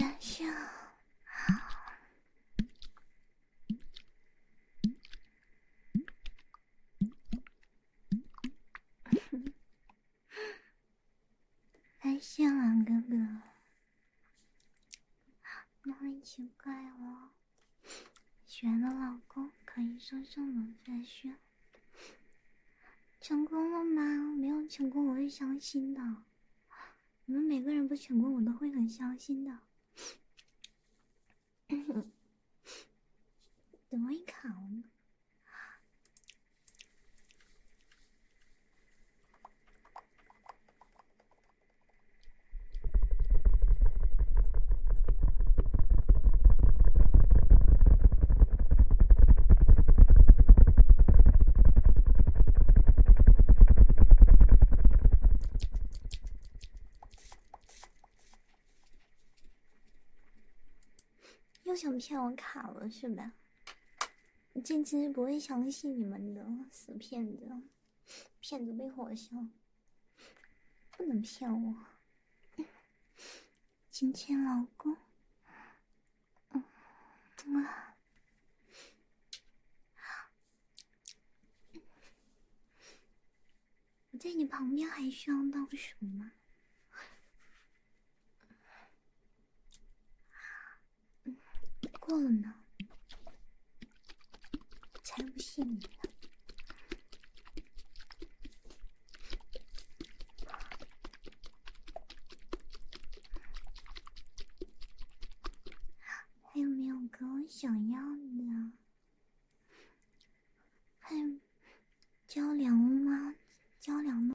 晚上好，晚上哥哥，哪里奇怪了？雪的老公可以送什么？晚上。成功了吗？没有成功，我会伤心的。你们每个人不成功，我都会很伤心的。等 我一呢？又想骗我卡了是吧？我简直不会相信你们的死骗子！骗子被火烧，不能骗我！亲 亲老公。嗯，我在你旁边还需要当什么？过了，呢，才不信你呢。还有没有歌我想要的？还有交粮吗？交粮吗？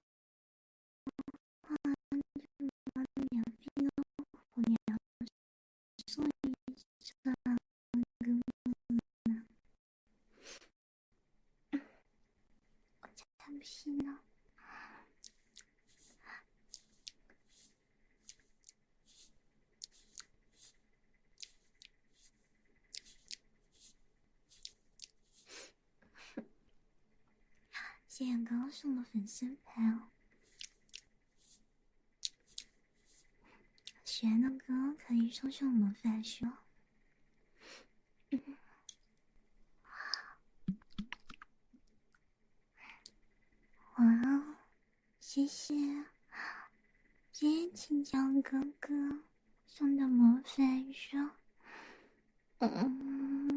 谢谢刚刚送的粉丝牌哦。喜欢的歌可以送送我们粉丝哇，谢谢，谢谢青江哥哥送的魔法书。嗯，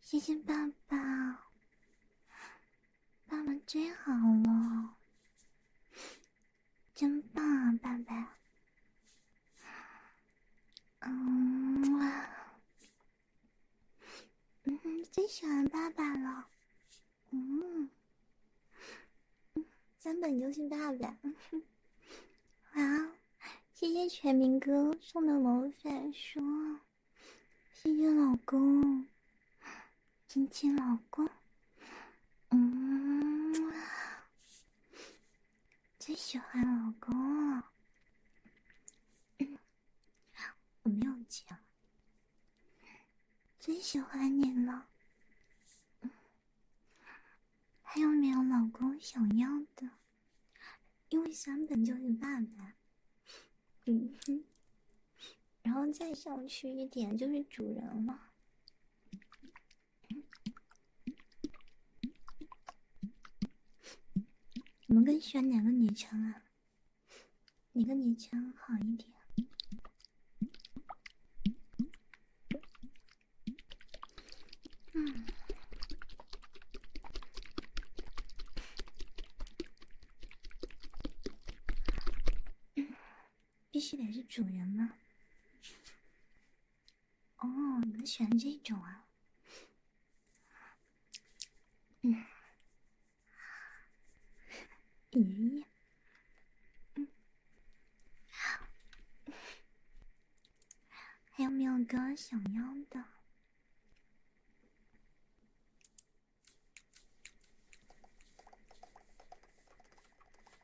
谢谢爸爸，爸爸最好了，真棒啊，爸爸。嗯，嗯，最喜欢爸爸了，嗯，三本就是爸爸。晚谢谢全民哥送的毛毯书，谢谢老公，亲亲老公，嗯。最喜欢老公，我没有讲，最喜欢你了。还有没有老公想要的？因为三本就是爸爸，嗯哼，然后再上去一点就是主人了。你们更喜欢哪个女枪啊？哪个女枪好一点？嗯，必须得是主人吗？哦，你喜欢这种啊？嗯，爷爷，嗯，还有没有哥想要的？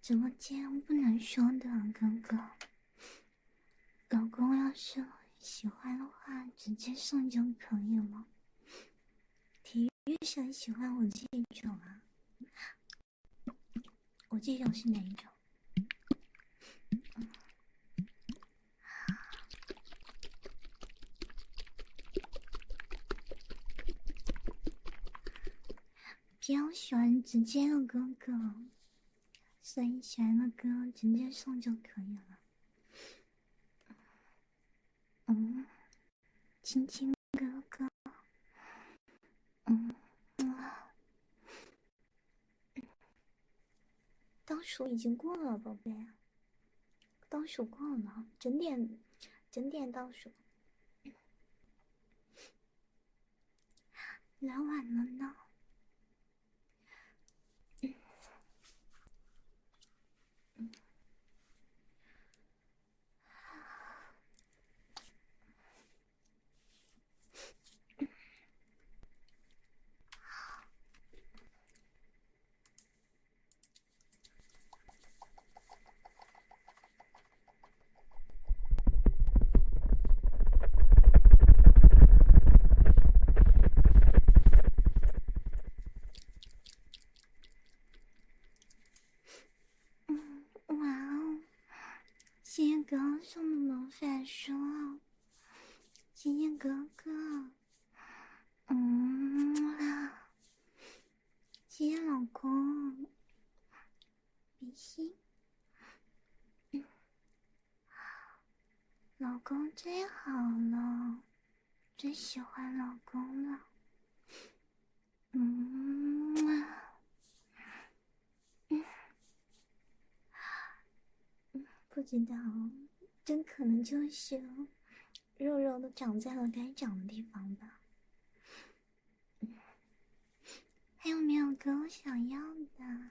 直播间不能说的，哥哥。老公，要是喜欢的话，直接送就可以了。体育生喜欢我这种啊？我这种是哪一种？比较喜欢直接的哥哥，所以喜欢的歌直接送就可以了。嗯，亲亲哥哥，嗯，倒数已经过了，宝贝。倒数过了，整点，整点倒数，来晚了呢。嗯，哇哦！鲜艳哥哥送的魔法书，鲜艳哥哥，嗯谢谢老公，比心，老公最好了，最喜欢老公了，嗯，不知道，真可能就是。肉肉都长在了该长的地方吧，还有没有哥我想要的？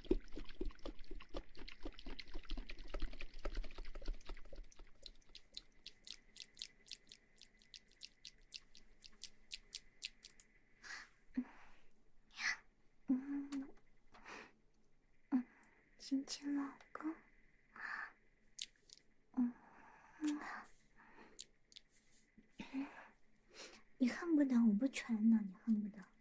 亲亲老公，嗯，你恨不得我不穿呢，你恨不得。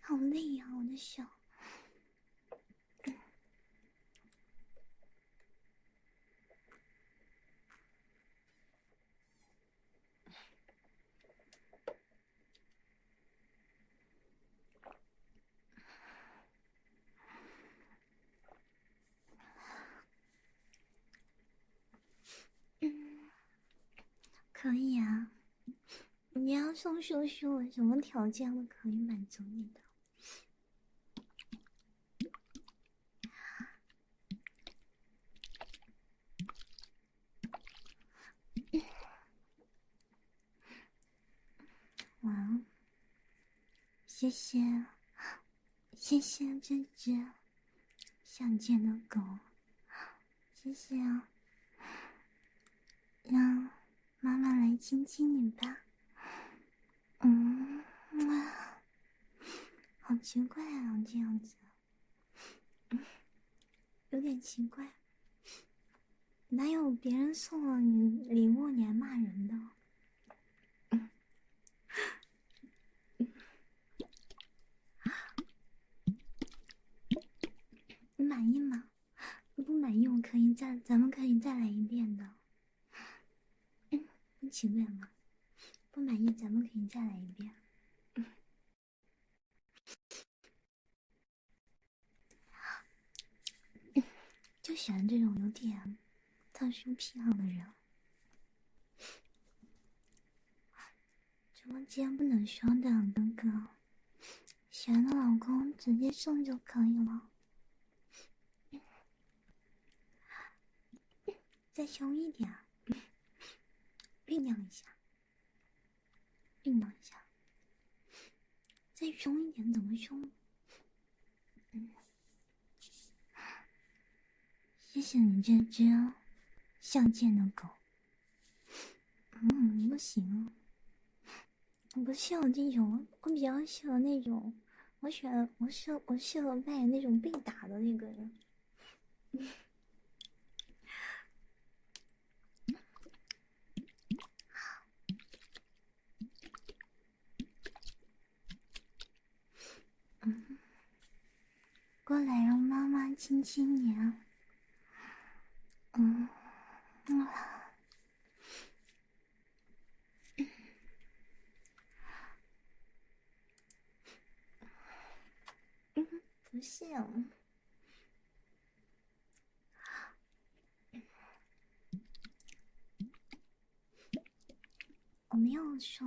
好累呀，我的手。可以啊。你要送叔我什么条件我可以满足你的。哇，谢谢，谢谢这只想见的狗。谢谢啊，让妈妈来亲亲你吧。嗯，哇，好奇怪啊，这样子，有点奇怪。哪有别人送了你礼物你还骂人的？你满意吗？你不满意，我可以再，咱们可以再来一遍的。你请问吗？不满意，咱们可以再来一遍。就喜欢这种有点特殊癖好的人。直播间不能凶的，哥哥，喜欢的老公直接送就可以了。再凶一点，酝酿一下，酝酿一下，再凶一点，怎么凶？谢谢你这只像见的狗。嗯，不行。我不喜欢这种，我比较喜欢那种，我喜欢我欢，我适合扮演那种被打的那个。嗯。过来，让妈妈亲亲你。啊。嗯，不是，我没有说。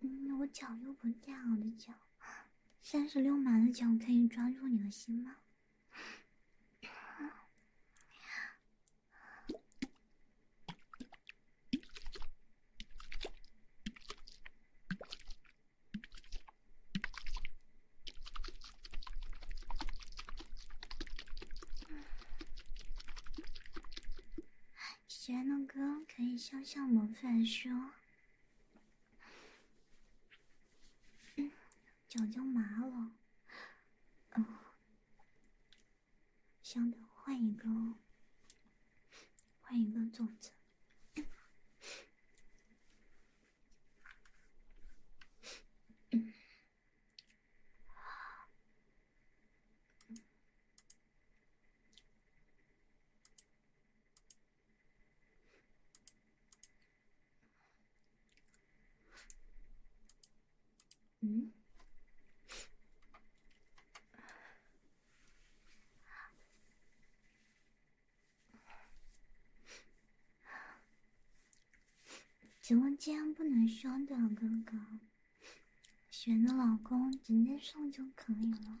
嗯，我脚又不见我的脚，三十六码的脚，可以抓住你的心吗？喜欢的歌可以向上魔范说：“脚脚麻了。嗯，想等换一个，换一个种子。嗯，直播间不能说的，哥哥。选的老公直接送就可以了，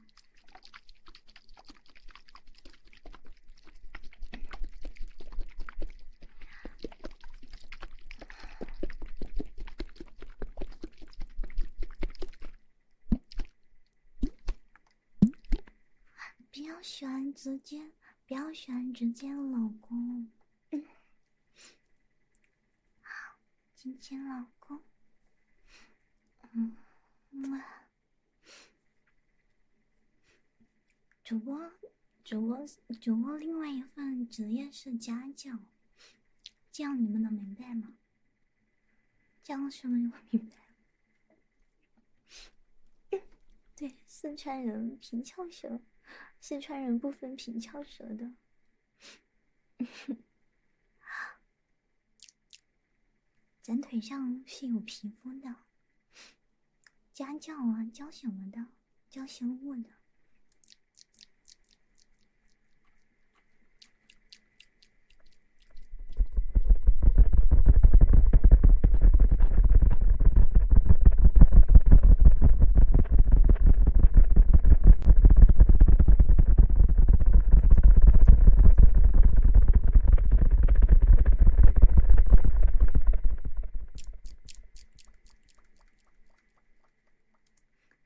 不要选直接，不要选直接的老公。亲亲老公，嗯，哇，主播，主播，主播，另外一份职业是家教，这样你们能明白吗？这样什么我明白？对，四川人平翘舌，四川人不分平翘舌的。咱腿上是有皮肤的，家教啊，教什么的，教生物的。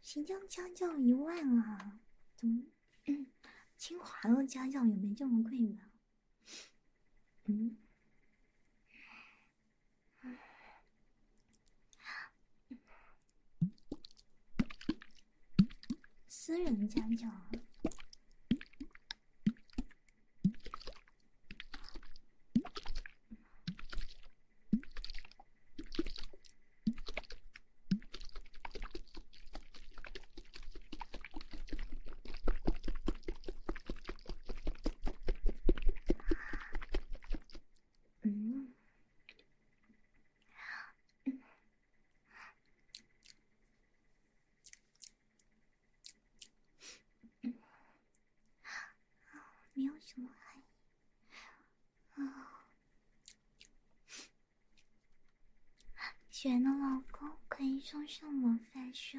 新疆家教一万啊，怎么？清华的家教也没这么贵吧？嗯。私人家教。嗯，没有什么含义啊。喜欢的老公可以送什么分手？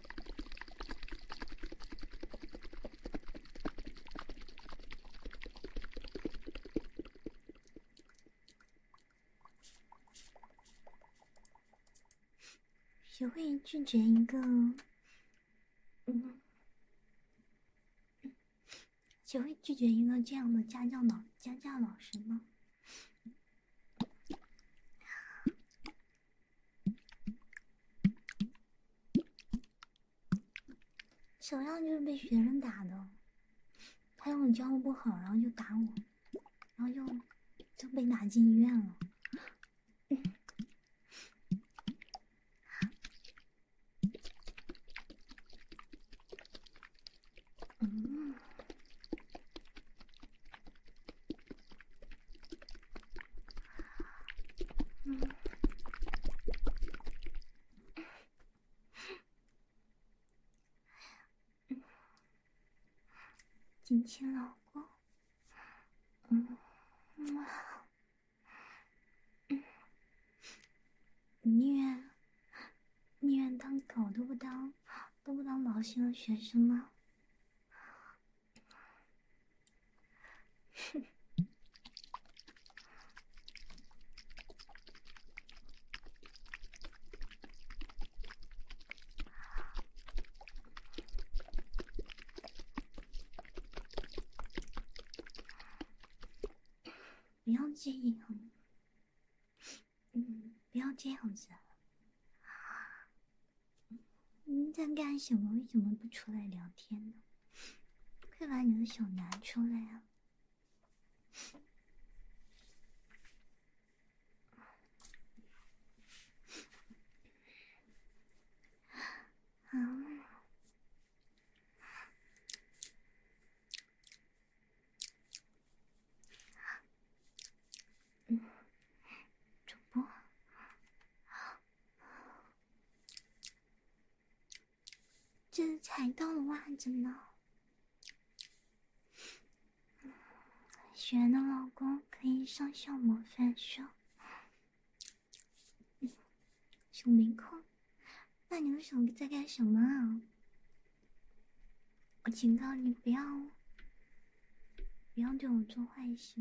学会拒绝一个，嗯，学会拒绝一个这样的家教老家教老师吗？小样，就是被学生打的。他让我教不好，然后就打我，然后就就被打进医院了。嗯，亲亲老公，嗯，哇，宁愿宁愿当狗都不当，都不当老师的学生吗？不要这样。嗯，不要这样子。你在干什么？为什么不出来聊天呢？快把你的手拿出来啊！嗯，主播。这才到了袜子呢。雪儿的老公可以上校模范生，嗯，没空。那你的手在干什么啊？我警告你，不要，不要对我做坏事。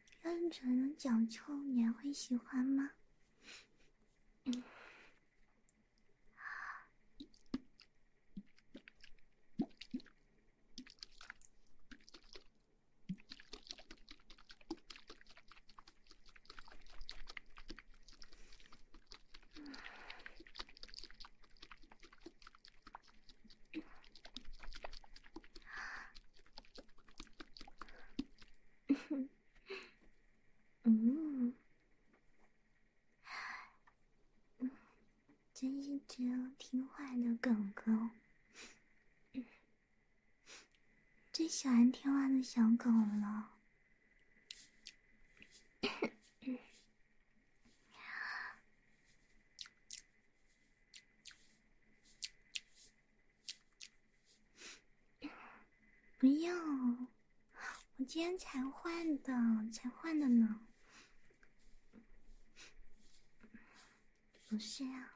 单纯的讲究，你还会喜欢吗？嗯真是只有听话的狗狗，最喜欢听话的小狗了。不要！我今天才换的，才换的呢，不是啊。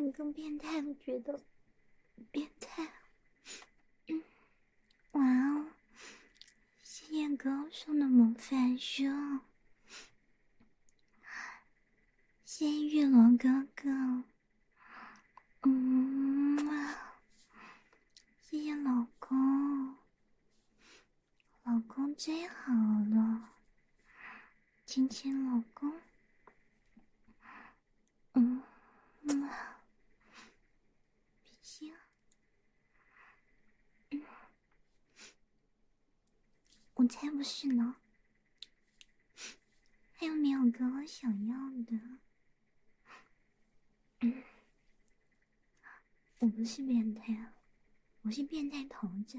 你更变态，我觉得，变态。嗯，哦，谢谢哥送的魔法书，谢谢玉龙哥哥。嗯，谢谢老公，老公最好了，亲亲老公。嗯，不行，我才不是呢，还有没有哥我想要的，我不是变态，我是变态头子。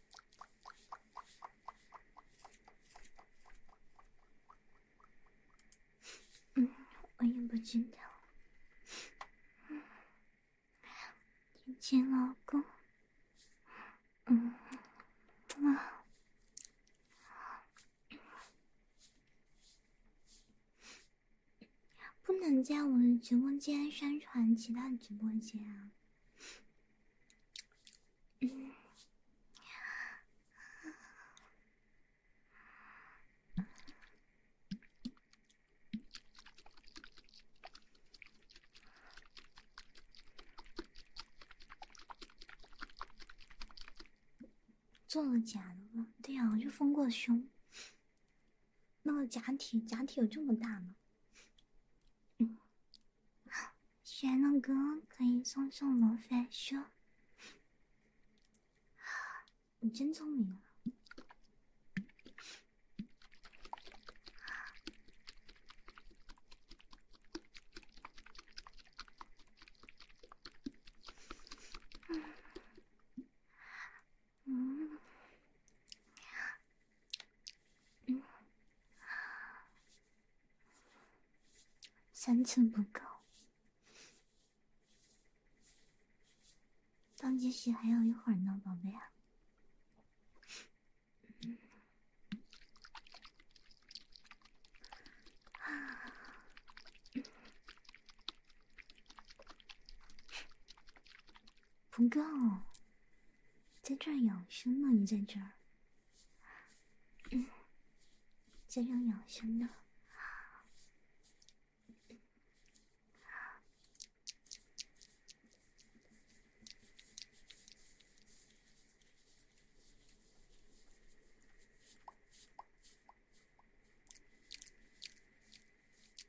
嗯，我也不知道，亲亲老公，嗯，啊，不能在我的直播间宣传其他直播间啊。做了假的吧？对呀，我就封过胸。那个假体，假体有这么大吗？学乐哥可以送送罗非说。你真聪明啊！嗯，三寸不够，当继续还有一会儿呢，宝贝啊，不够。在这儿养生呢，你在这儿，在这儿养生呢。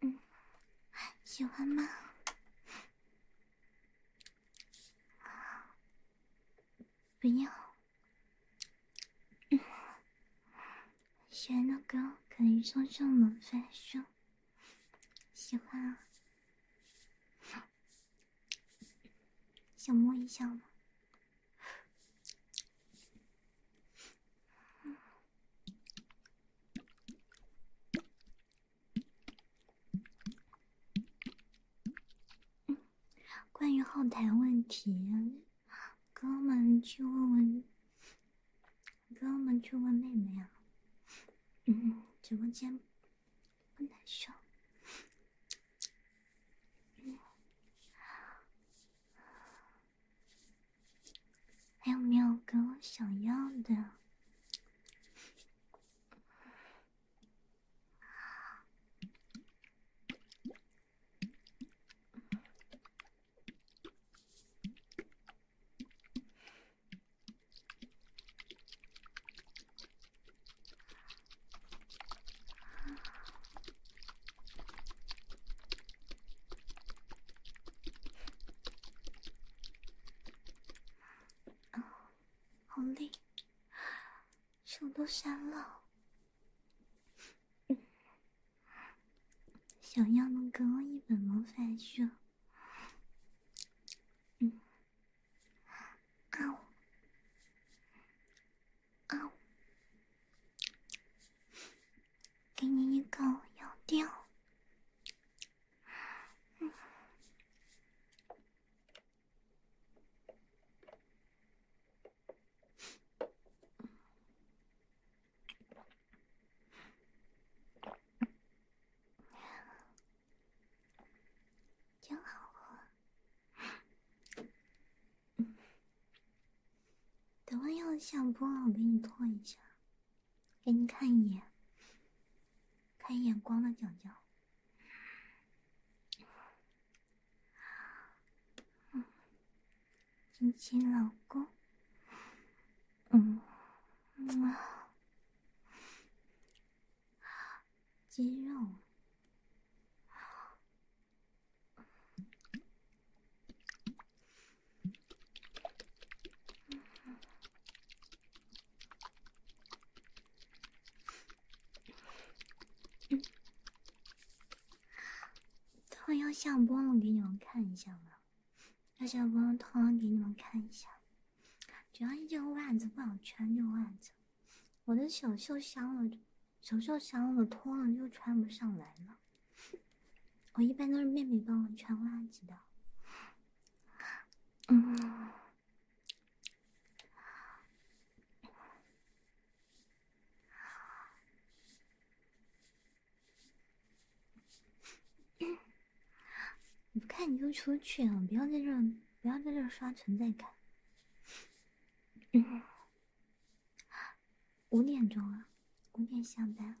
嗯，喜欢吗？不要，喜欢的歌可以送上门分手。喜欢，啊，想摸一下吗？嗯，关于后台问题，哥们去问问，哥们去问妹妹啊。嗯，直播间不受。嗯，还有没有给我想要的？嗯，好累，手都酸了。想要能给我一本魔法书，嗯，啊，啊。给你一口，咬掉。嗯，挺好喝。等会要下播了，我给你脱一下。给你看一眼，看一眼光的讲脚。亲亲老公，嗯，嗯，肌肉。会要下播了，给你们看一下吧。要下播了，他给你们看一下。主要这袜子不好穿，这袜子，我的手袖小了，手袖小了，脱了就穿不上来了。我一般都是妹妹帮我穿袜子的。嗯，你不看你就出去啊！不要在这儿，不要在这儿刷存在感。五点钟啊，五点下班。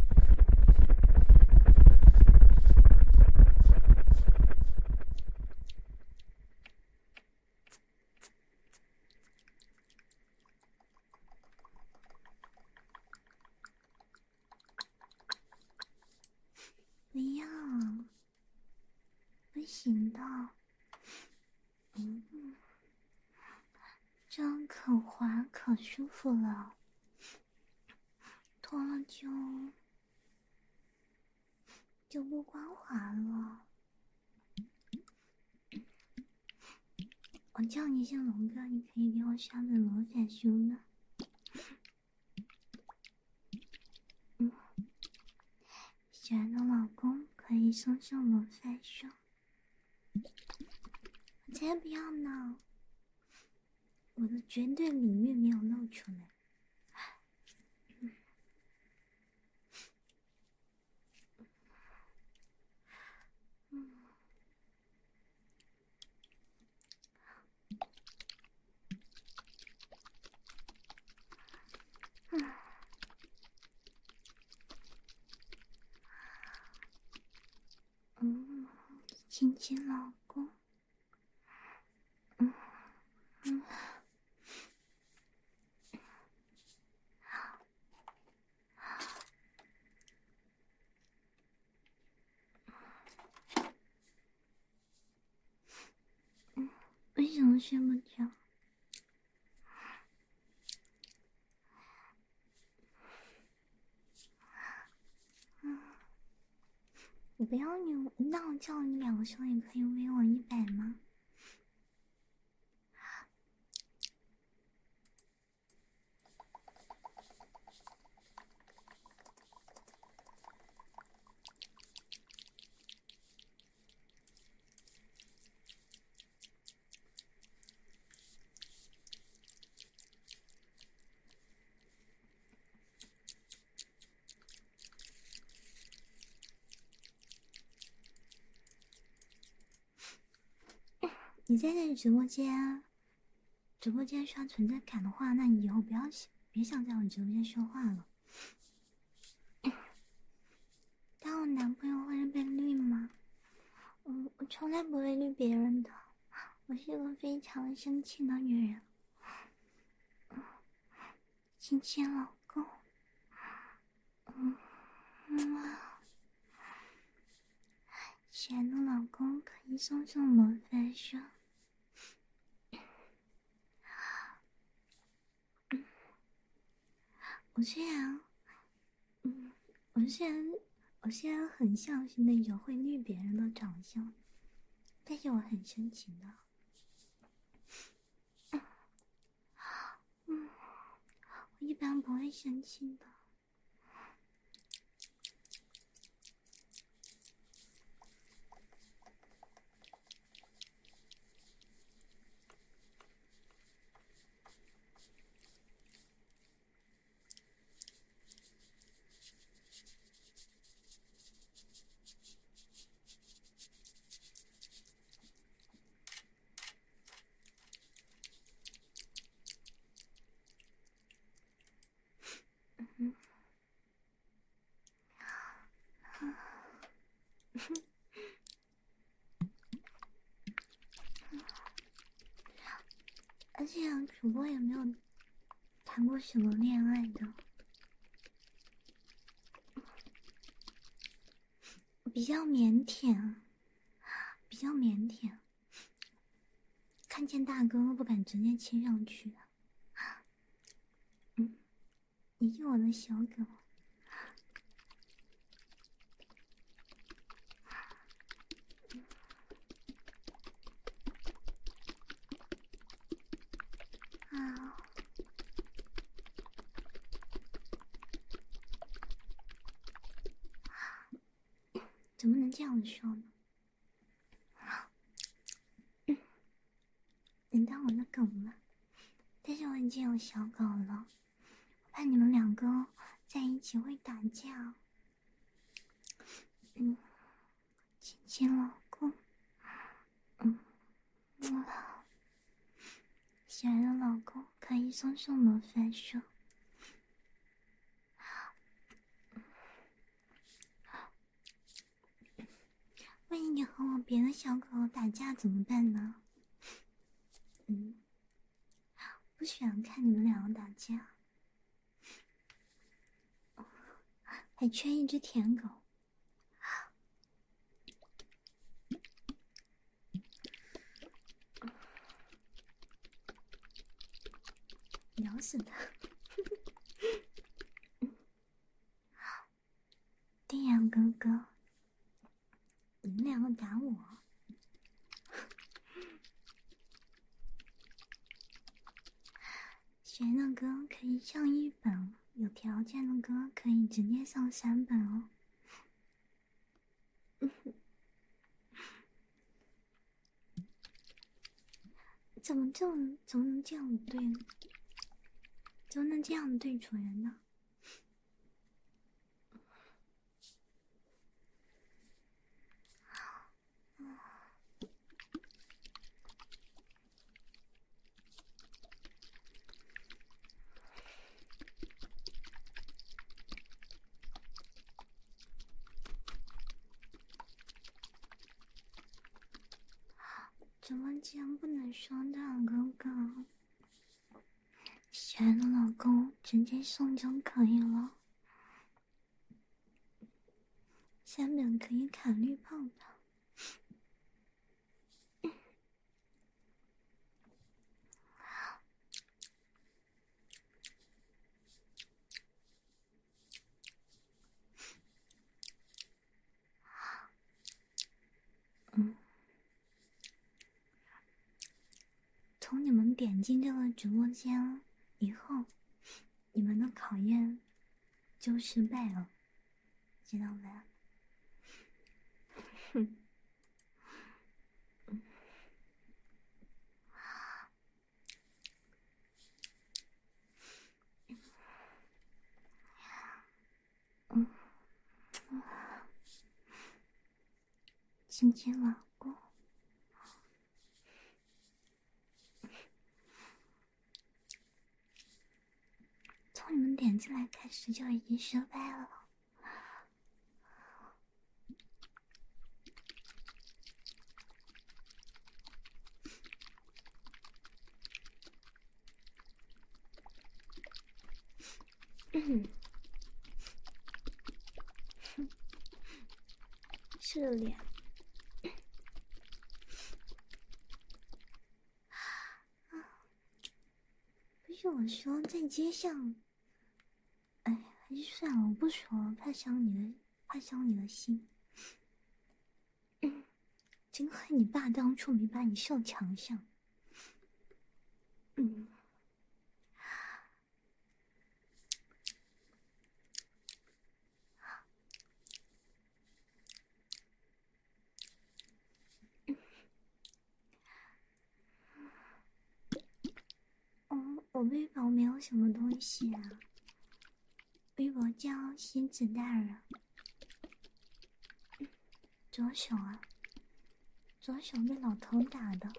不要，不行的，嗯，这样可滑可舒服了。脱了就就不光滑了。我叫你一声龙哥，你可以给我上个魔法书吗？嗯，喜欢的老公可以送上魔法书，我才不要呢。我的绝对里面没有露出来。嗯，亲亲老公。为什么睡不着？我不要你，那我叫你两声也可以微我一百吗？你在这直播间，直播间刷存在感的话，那你以后不要想，别想在我直播间说话了。当我男朋友会被绿吗？我我从来不会绿别人的，我是一个非常生气的女人。亲亲，老公，嗯，妈妈，亲爱的老公，可以送送我分手？我虽然，嗯，我虽然，我虽然很像是那种会虐别人的长相。但是我很深情的。嗯，我一般不会生气的。嗯而且主播也没有。谈过什么恋爱的？比较腼腆，比较腼腆，看见大哥不敢直接亲上去。嗯，你是我的小狗。啊！怎么能这样说呢？能当我的狗吗？但是我已经有小狗了，我怕你们两个在一起会打架。亲亲老公，嗯，累了，喜欢老公可以松松魔法手。万一你和我别的小狗打架怎么办呢？嗯，不喜欢看你们两个打架。还缺一只舔狗，咬死他！丁阳哥哥，你们两个打我？学的歌可以上一本，有条件的歌可以直接上三本哦。怎么就怎么能这样对怎么能这样对主人呢？怎么竟然不能说，哥哥？喜欢的老公直接送就可以了。下面可以砍绿泡泡。嗯，从你们点进这个直播间以后，你们的考验。就失败了，知道吗？哼亲亲老公，从你们点进来开始就已经失败了。是的不是我说，在街上，哎，还是算了，我不说，怕伤你的，怕伤你的心。真亏你爸当初没把你吊墙上。我背包没有什么东西啊。背包叫“仙子大人”，左手啊，左手被老头打的。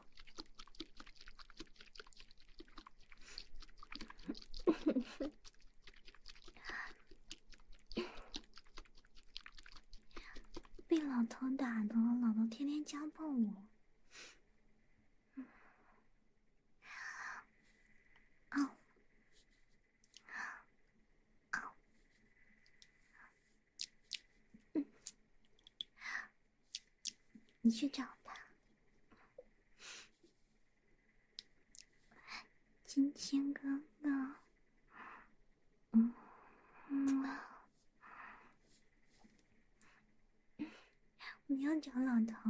被老头打的，老头天天家暴我。你去找他。亲亲哥哥，嗯，我要找老头，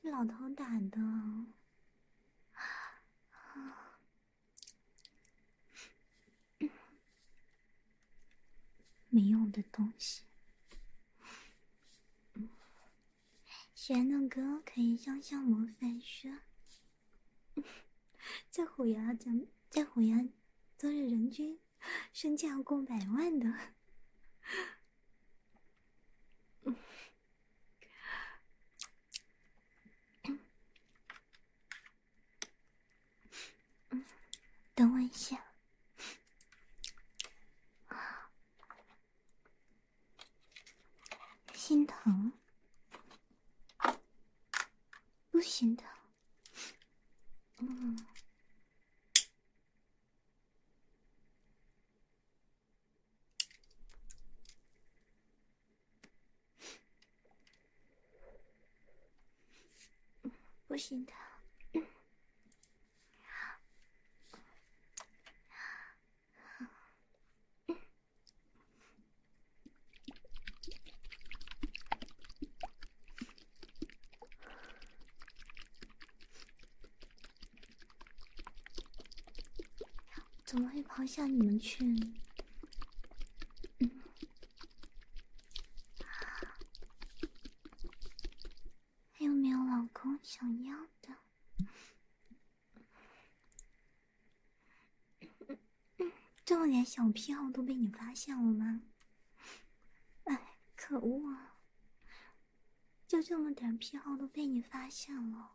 是老头打的，没用的东西。玄那哥可以向上模范说在 虎牙，咱在虎牙都是人均身价过百万的。等我一下。心疼？不心疼？嗯，不心疼。怎么会抛下你们去？还有没有老公想要的？这么点小癖好都被你发现了吗？哎，可恶啊！就这么点癖好都被你发现了。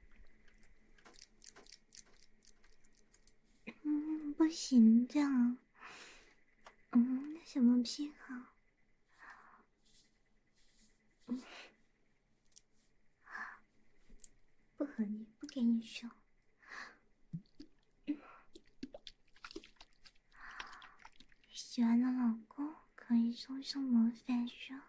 嗯，不行，这样。嗯，什么信号？不和你不给你说。喜欢的老公可以送送么分手？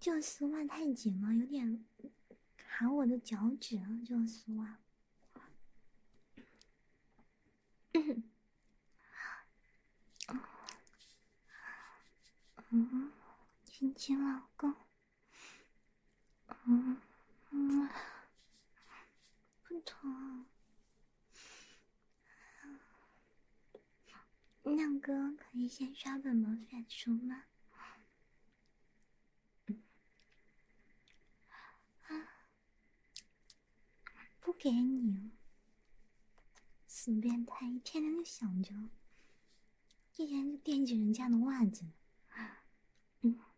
就丝袜太紧了，有点卡我的脚趾了。这丝袜，嗯，亲亲老公，嗯嗯。不疼。亮哥可以先刷本魔法书吗？啊，不给你死变态，一天天就想着，一天就惦记人家的袜子，嗯。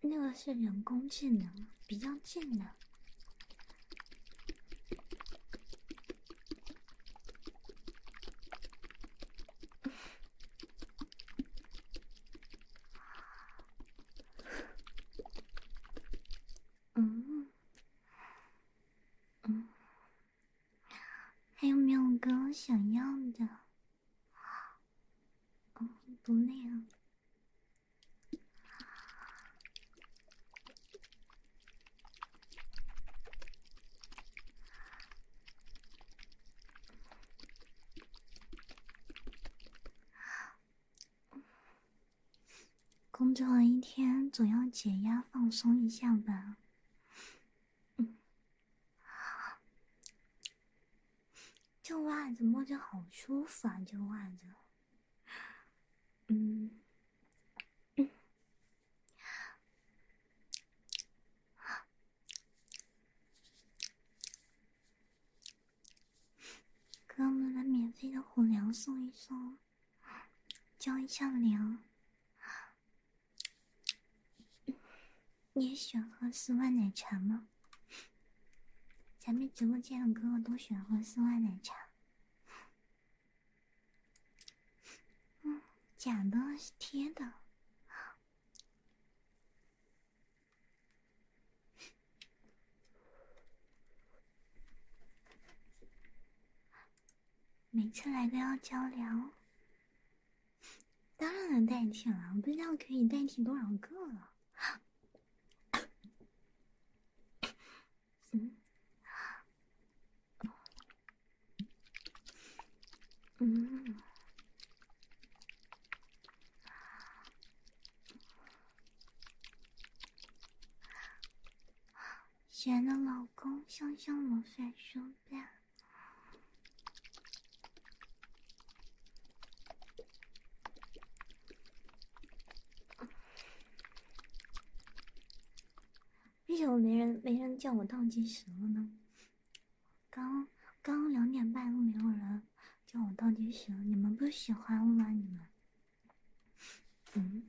那个是人工智能，比较智能。嗯，嗯，还有没有跟我想要的？啊，不累啊。工作一天，总要解压放松一下吧。这袜子摸着好舒服啊！这袜子，嗯，给我们免费的虎粮送一送，浇一下粮。你喜欢喝丝袜奶茶吗？咱们直播间的哥哥都喜欢喝丝袜奶茶。嗯，假的，是贴的。每次来都要交流。当然能代替了，不知道可以代替多少个了。嗯的老公，香香我再说呗。为什么没人没人叫我倒计时了呢？刚刚两点半都没有人叫我倒计时，你们不喜欢吗？你们？嗯。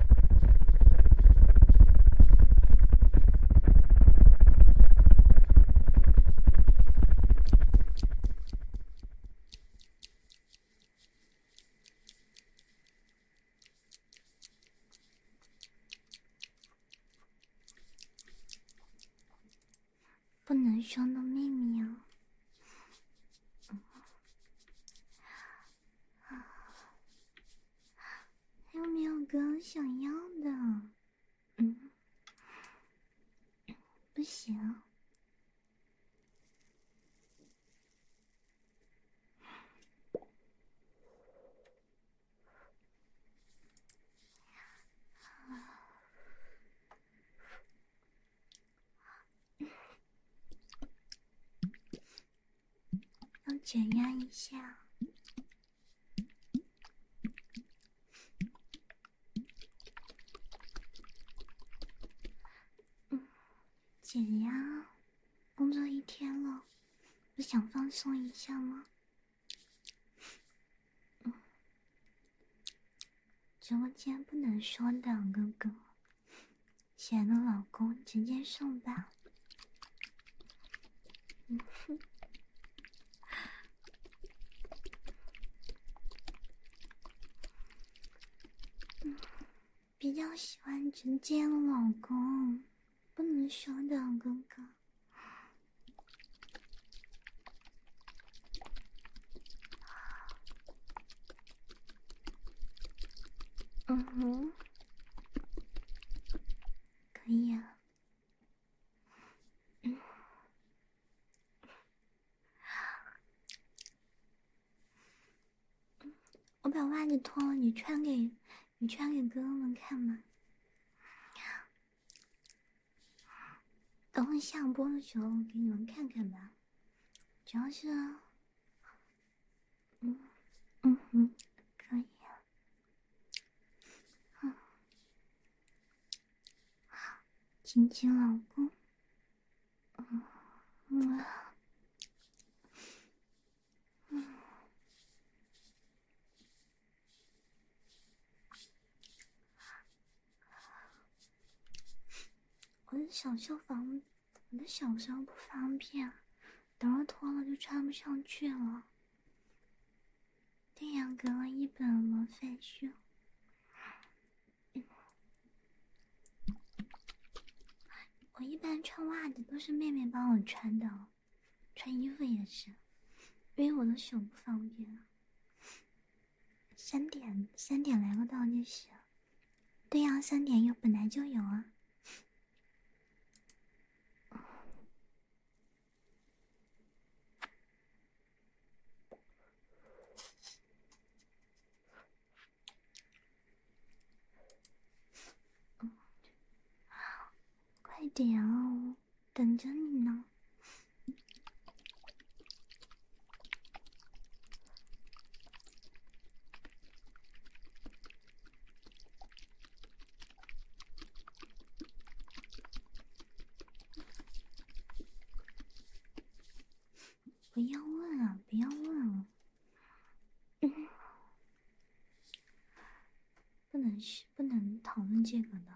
不能说的秘密。啊，还有没有更想要的？嗯，不行。要减压一下，嗯，减压，工作一天了，不想放松一下吗？嗯，直播间不能说两个哥。亲爱的老公，直接送吧。嗯哼，嗯，比较喜欢直接的老公，不能说的哥哥。嗯哼。可以啊，我把袜子脱了，你穿给你穿给哥哥们看吗？等会下播的时候给你们看看吧，主要是。嗯嗯嗯，可以。啊。亲亲老公。嗯，嗯，嗯。我想修房我的手比不方便，等会脱了就穿不上去了。对呀，隔了一本王菲书。我一般穿袜子都是妹妹帮我穿的，穿衣服也是，因为我的手不方便。三点，三点来个倒计时。对呀，三点又本来就有啊。快点哦，等着你呢。不要问啊！不要问了，不能是不能讨论这个的。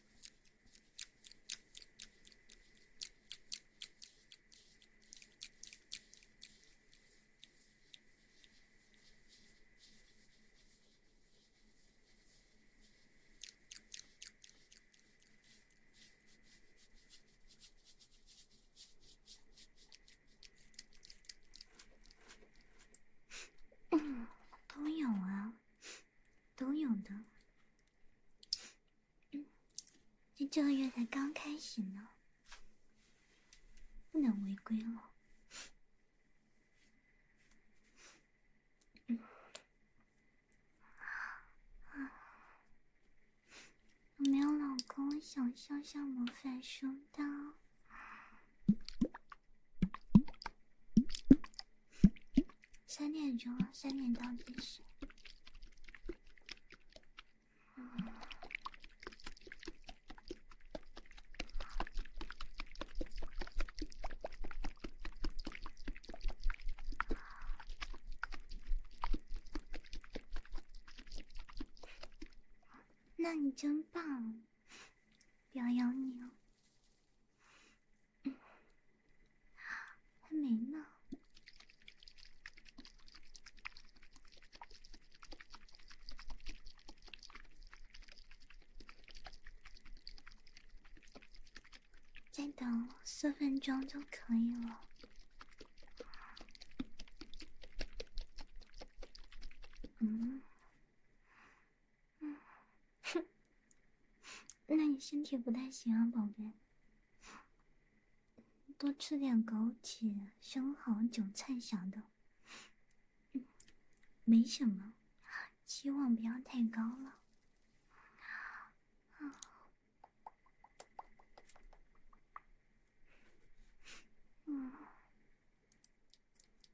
嗯，都有啊。都有的，这这个月才刚开始呢，不能违规了。啊啊！我没有老公，我想秀秀魔法书刀。三点钟，三点到计时。那你真棒，表扬你哦。还没呢，再等四分钟就可以了。嗯，哼，那你身体不太行啊，宝贝。多吃点枸杞、生蚝、韭菜啥的，嗯，没什么，期望不要太高了。嗯。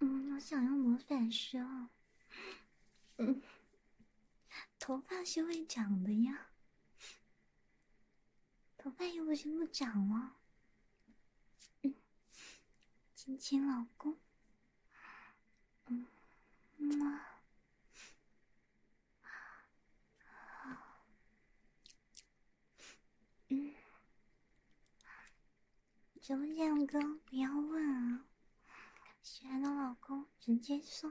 嗯，我想用魔法石。嗯，头发是会长的呀，头发又不是不长嗯，亲亲老公，嗯，么。直播间哥，不要问啊，喜欢的老公，直接说。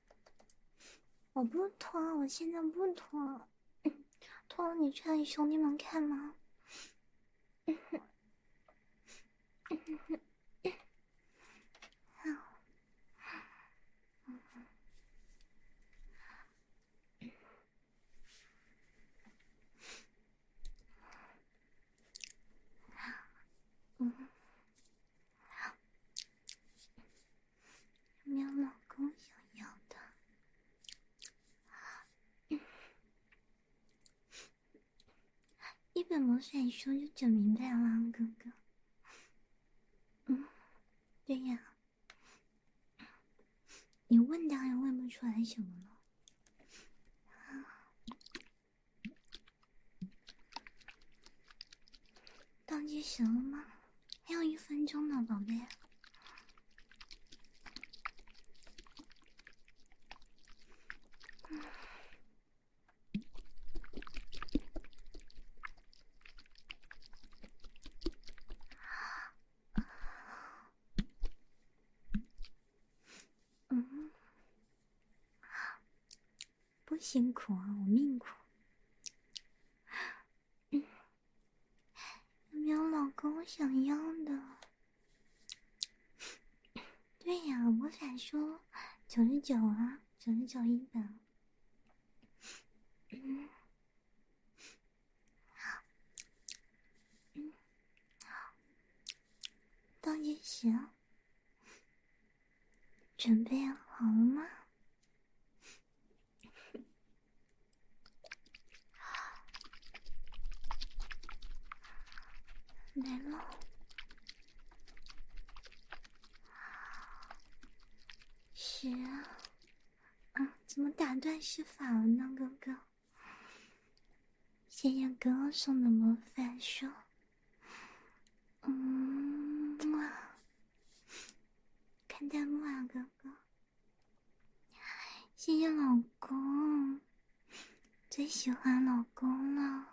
我不脱，我现在不脱，脱了你穿给兄弟们看吗？有没有老公想要的？一本魔法书就整明白了，哥哥。嗯，对呀，你问当然问不出来什么了。当什么吗？还有一分钟呢，宝贝。嗯，不辛苦啊，我命苦。有没有老公想要的？对呀，我想说九十九啊，九十九一本。嗯，好，倒计时，准备好了吗？啊！是啊，嗯，怎么打断施法了呢，哥哥？谢谢哥哥送的魔法书。嗯，哇！看弹幕啊，哥哥，谢谢老公，最喜欢老公了。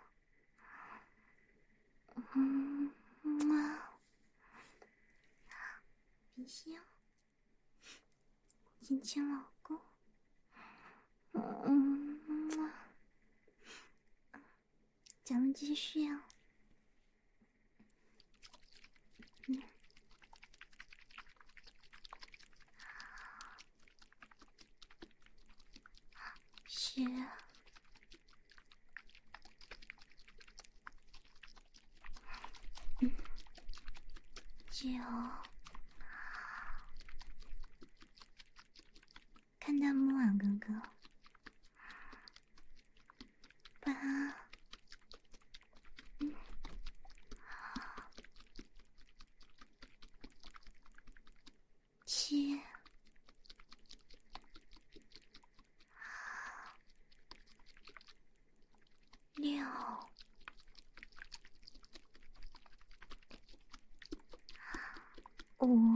嗯，木马，冰箱，亲亲老公。嗯，木咱们继续啊。嗯，是，嗯，就看到木婉哥哥。八、七、六、五。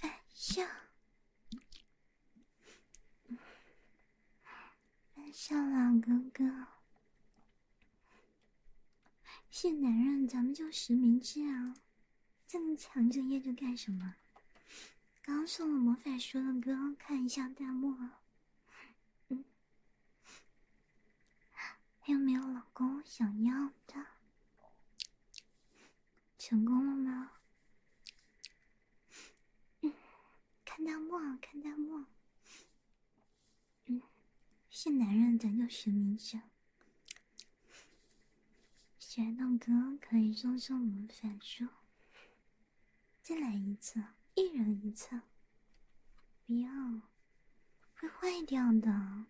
反向，反向老哥哥，是男人咱们就实名制啊！这么强就掖着干什么？刚送了魔法书的哥，看一下弹幕。嗯，还有没有老公想要的？成功了吗？看弹幕，看弹幕。嗯，是男人咱就实名者。学动哥可以送我们法术。再来一次，一人一次。不要，会坏掉的。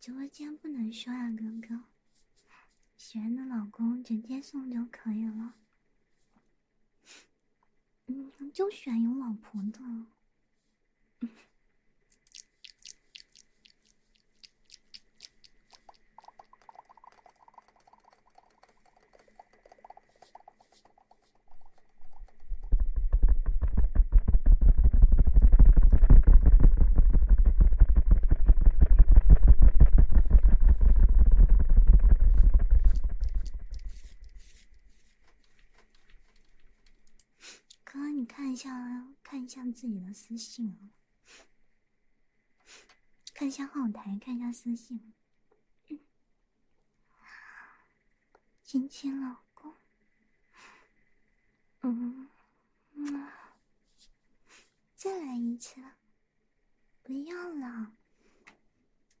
直播间不能说啊，哥哥。喜欢的老公直接送就可以了。嗯，就选有老婆的。哥，你看一下，看一下自己的私信啊，看一下后台，看一下私信。亲亲老公，嗯，再来一次，不要了，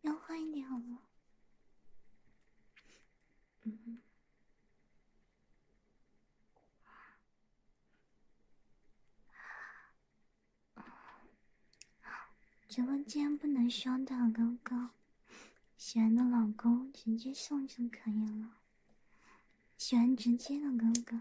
要换一点好吗？嗯，直播间不能双的，哥哥。喜欢的老公直接送就可以了，喜欢直接的哥哥。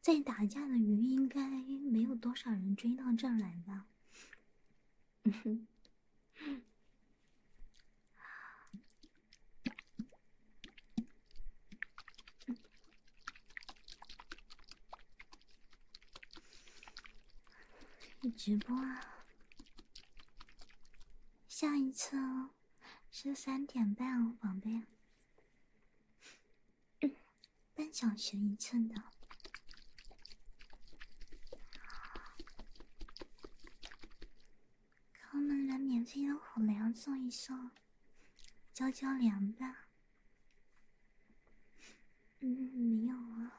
在打架的鱼应该没有多少人追到这儿来吧？直播啊？下一次哦，是三点半哦，宝贝。半小时一寸的。好，给们来免费的火粮送一送，浇浇凉吧。嗯，没有啊。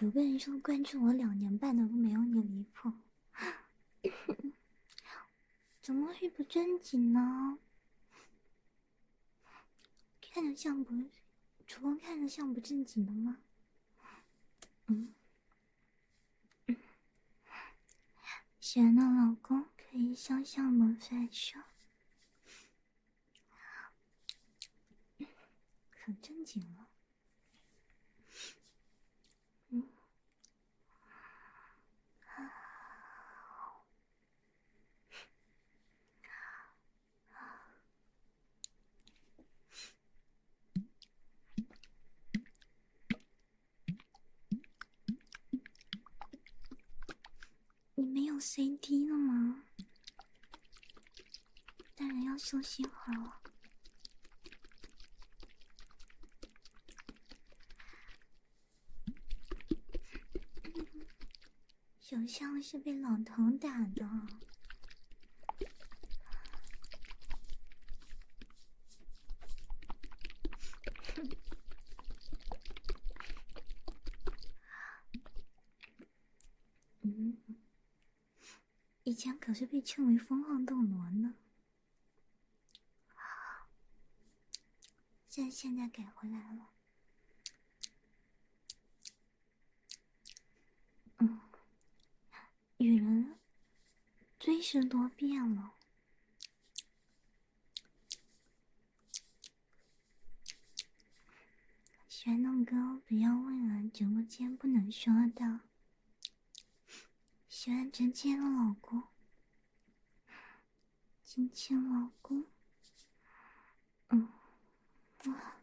有个人说关注我两年半的都没有你离谱，怎么会不正经呢？看着像不？主播看着像不正经的吗？嗯。亲爱的老公，可以向向我发羞，很正经了。嗯。你没有 CD 了吗？大人要休息会儿了。是被老头打的。嗯，以前可是被称为“风狂斗罗”呢，现现在改回来了。嗯。女人真是多变了，喜欢弄哥不要问了，直播间不能说的。喜欢直接的老公，亲亲老公，嗯，哇。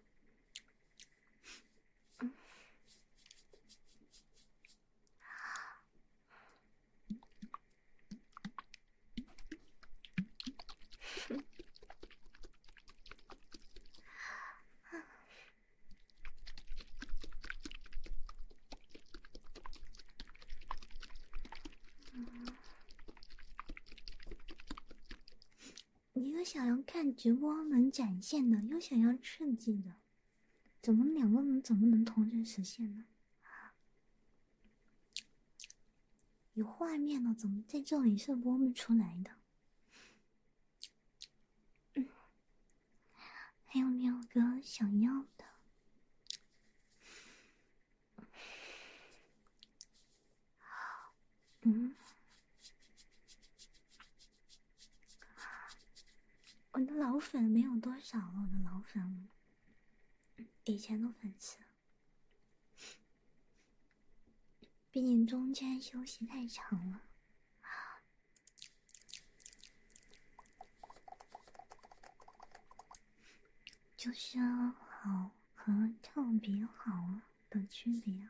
你又想要看直播能展现的，又想要刺激的。怎么两个人怎么能同时实现呢？有画面了，怎么在这里是播不出来的？还有没有哥想要的？嗯。我的老粉没有多少了，我的老粉，以前的粉丝，毕竟中间休息太长了。就是好和特别好的区别。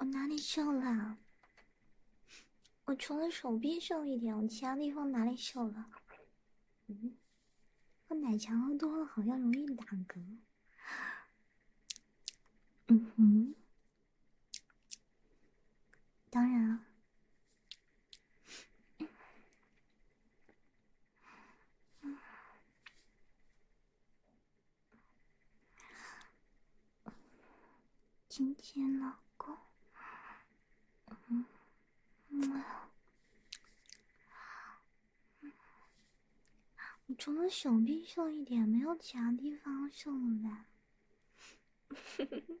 我哪里瘦了？我除了手臂瘦一点，我其他地方哪里瘦了？嗯，我奶茶喝多了，好像容易打嗝。嗯哼。当然了，亲亲老公，嗯，我除了手臂瘦一点，没有其他地方瘦了呗。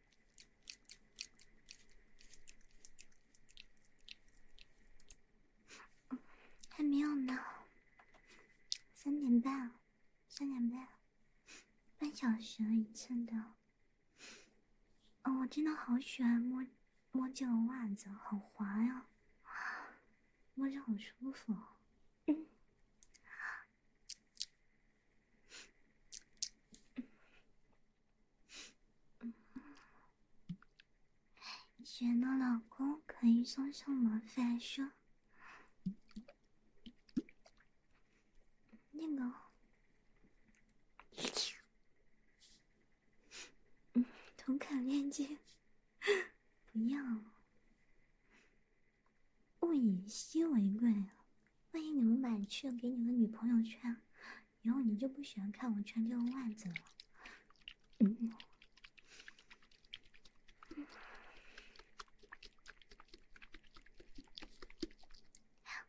还没有呢，三点半，三点半，半小时一次的。哦，我真的好喜欢摸摸这个袜子，好滑呀，摸着好舒服。亲爱老公，可以送上魔法书？那个同款链接 不要，物以稀为贵。万一你们买去给你个女朋友穿，以后你就不喜欢看我穿这个袜子了。嗯，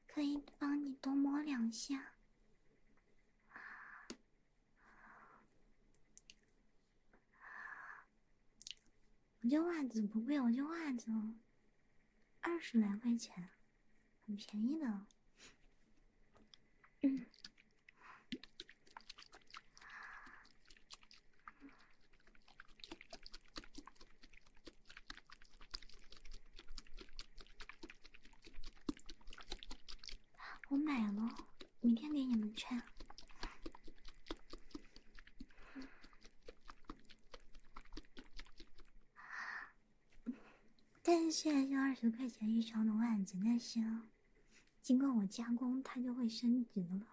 可以帮你多摸两下。我这袜子不贵，我这袜子。二十来块钱，很便宜的。嗯，我买了，明天给你们券。但是虽是二十块钱一双的袜子，但是经过我加工，它就会升值了。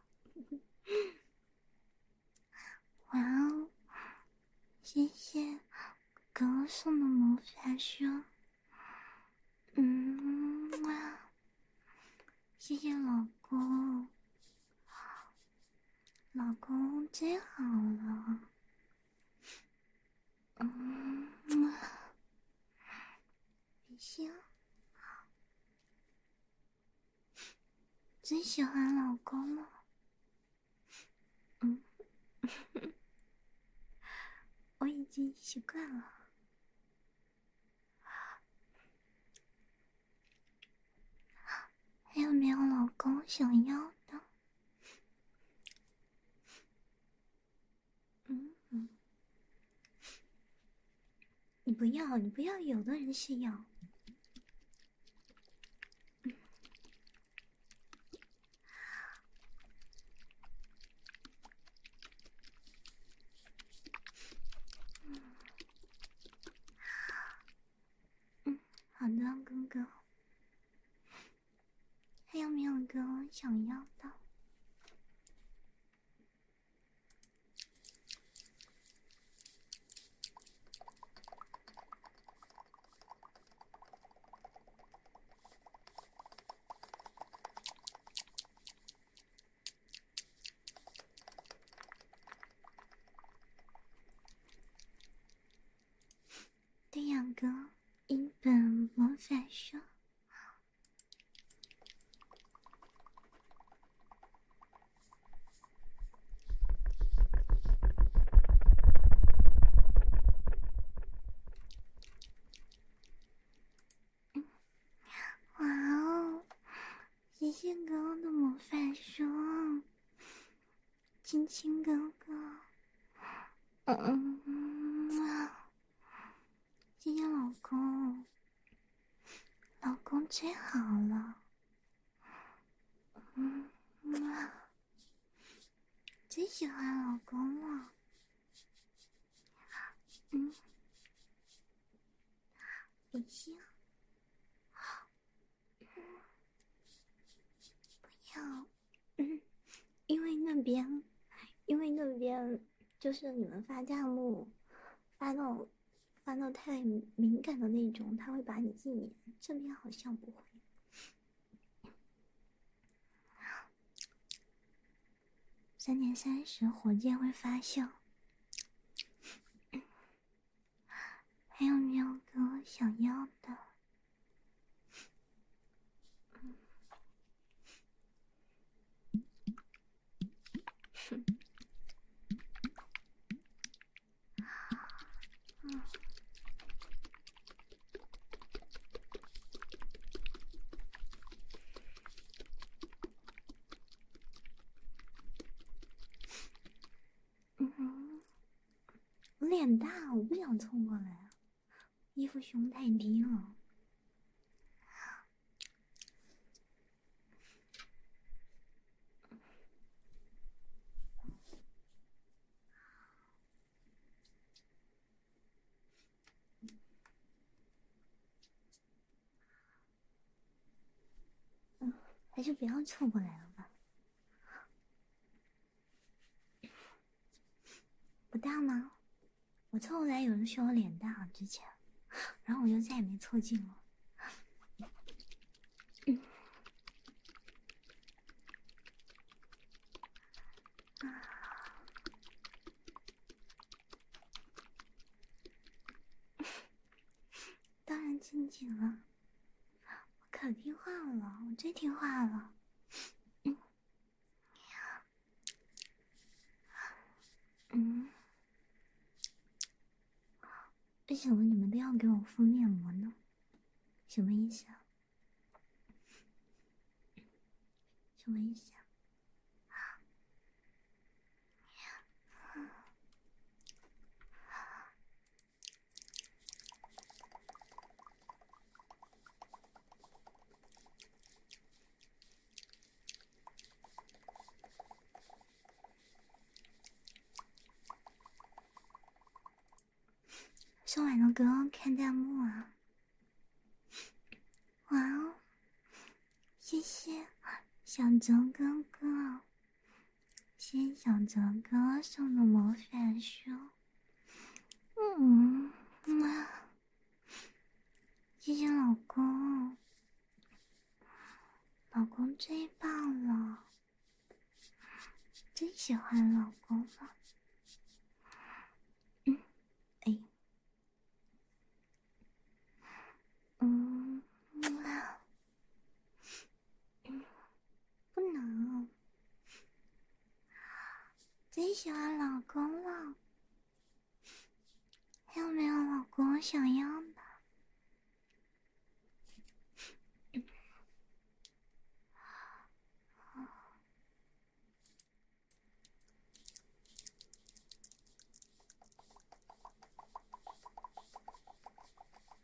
哇哦，谢谢哥哥送的魔法书，嗯哇，谢谢老公。老公最好了，嗯，行，最喜欢老公了，嗯，我已经习惯了。还有没有老公想要的？嗯，你不要，你不要，有的人是要。嗯。嗯，好的，哥哥。还有没有哥哥想要的？对呀哥，一本魔法书。哇哦，杰西给的魔法书。亲亲哥哥，嗯，谢谢老公，老公最好了，嗯，最喜欢老公了，嗯，我先不要，因为那边，因为那边就是你们发弹幕，发到发到太敏感的那种，他会把你禁言。这边好像不会。三点三十，火箭会发酵。还有没有给我想要的？嗯。嗯哼，我脸大，我不想凑过来。衣服胸太低了，嗯，还是不要凑过来了吧。不大吗？我凑过来有人说我脸大之前，然后我就再也没凑近了。当然近景了。我可听话了，我最听话了。嗯，为什么你们都要给我敷面膜呢？什么意思？什么意思？收完的哥看弹幕啊！哇哦，谢谢小泽哥哥。欣想着哥送的魔法书，嗯，哇，谢谢老公，老公最棒了，最喜欢老公了，嗯，哎，嗯，不能，最喜欢老公了。还有没有老公想要的？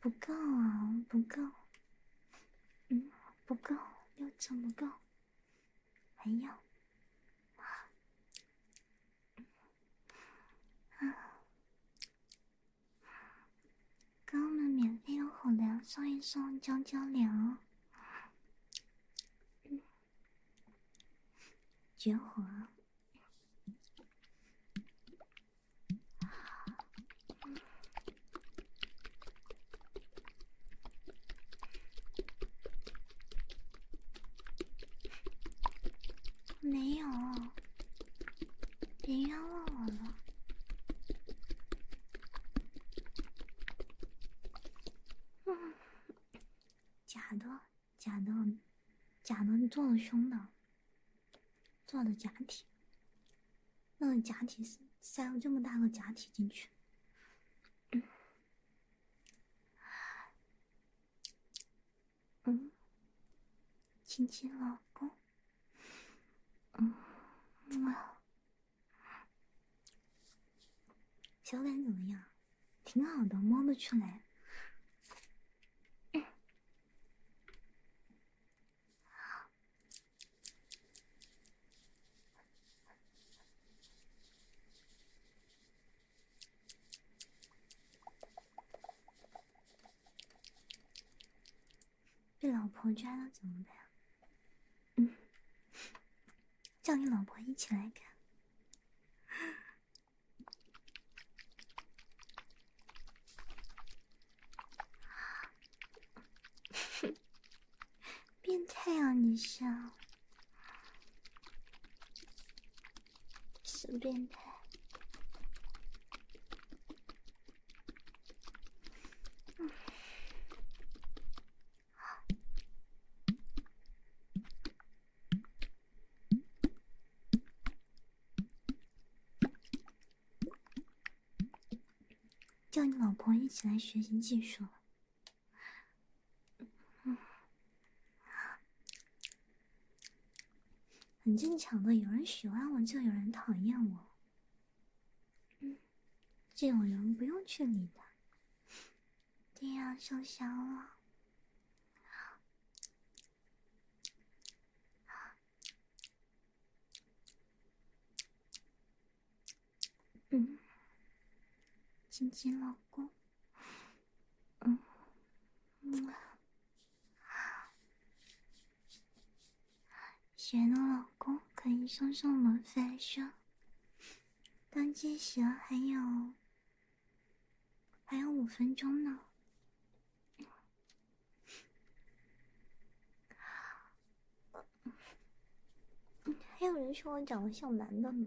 不够啊，不够，嗯，不够，又怎么够？哎呦！啊啊！哥们，免费用好粮送一送，将将粮，绝活！没有，别冤枉我了。假的，假的，假的，你做了胸的，做的假体，那个假体是塞了这么大个假体进去。亲亲老公，嗯，哇，感怎么样？挺好的，摸得出来。被老婆抓到怎么办？嗯，叫你老婆一起来看。变态啊！你什么变态。叫你老婆一起来学习技术很正常的，有人喜欢我就有人讨厌我。嗯，这种人不用去理他。对呀，受伤了。亲亲老公，嗯，么啊，贤的老公可以送上门翻身，但其实还有还有五分钟呢。还有人说我长得像男的呢。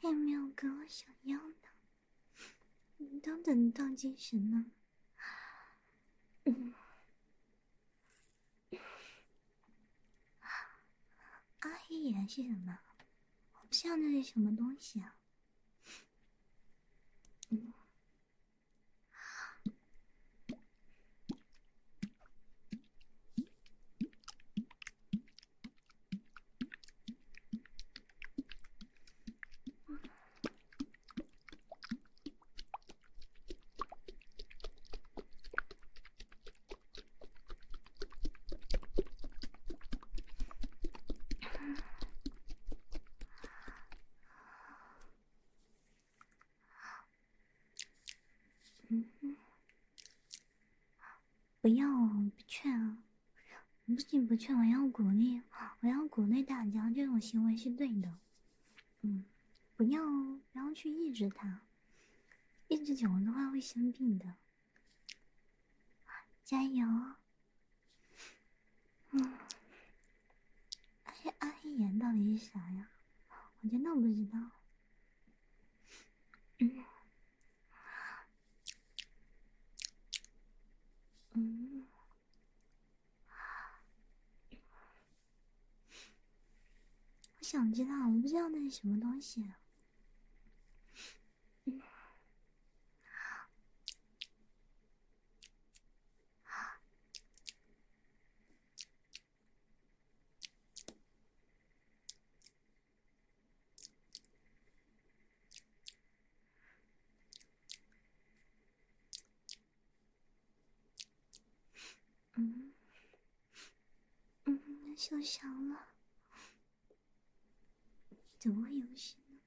有没有跟我想要的？等等，到精神呢？阿黑眼是什么？我不像那是什么东西啊。不要，不劝啊。不仅不劝，我要鼓励，我要鼓励大家，这种行为是对的。嗯，不要不要去抑制他，抑制久了的话会生病的。加油！嗯，哎，阿黑岩到底是啥呀？我真的不知道。嗯。嗯。我想知道，我不知道那是什么东西。嗯嗯，受伤了？怎么会游戏呢？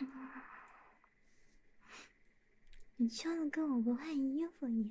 嗯。你穿的跟我不换衣服一样。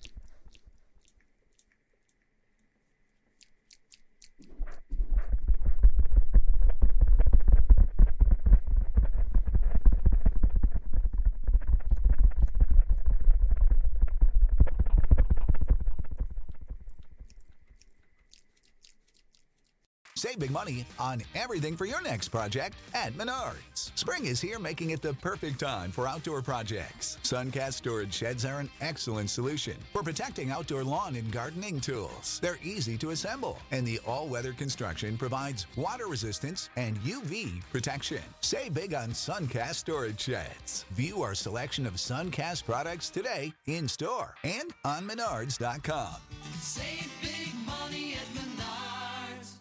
Save big money on everything for your next project at Menard. Spring is here, making it the perfect time for outdoor projects. Suncast storage sheds are an excellent solution for protecting outdoor lawn and gardening tools. They're easy to assemble, and the all weather construction provides water resistance and UV protection. Say big on Suncast storage sheds. View our selection of Suncast products today in store and on Menards.com. Save big money at Menards.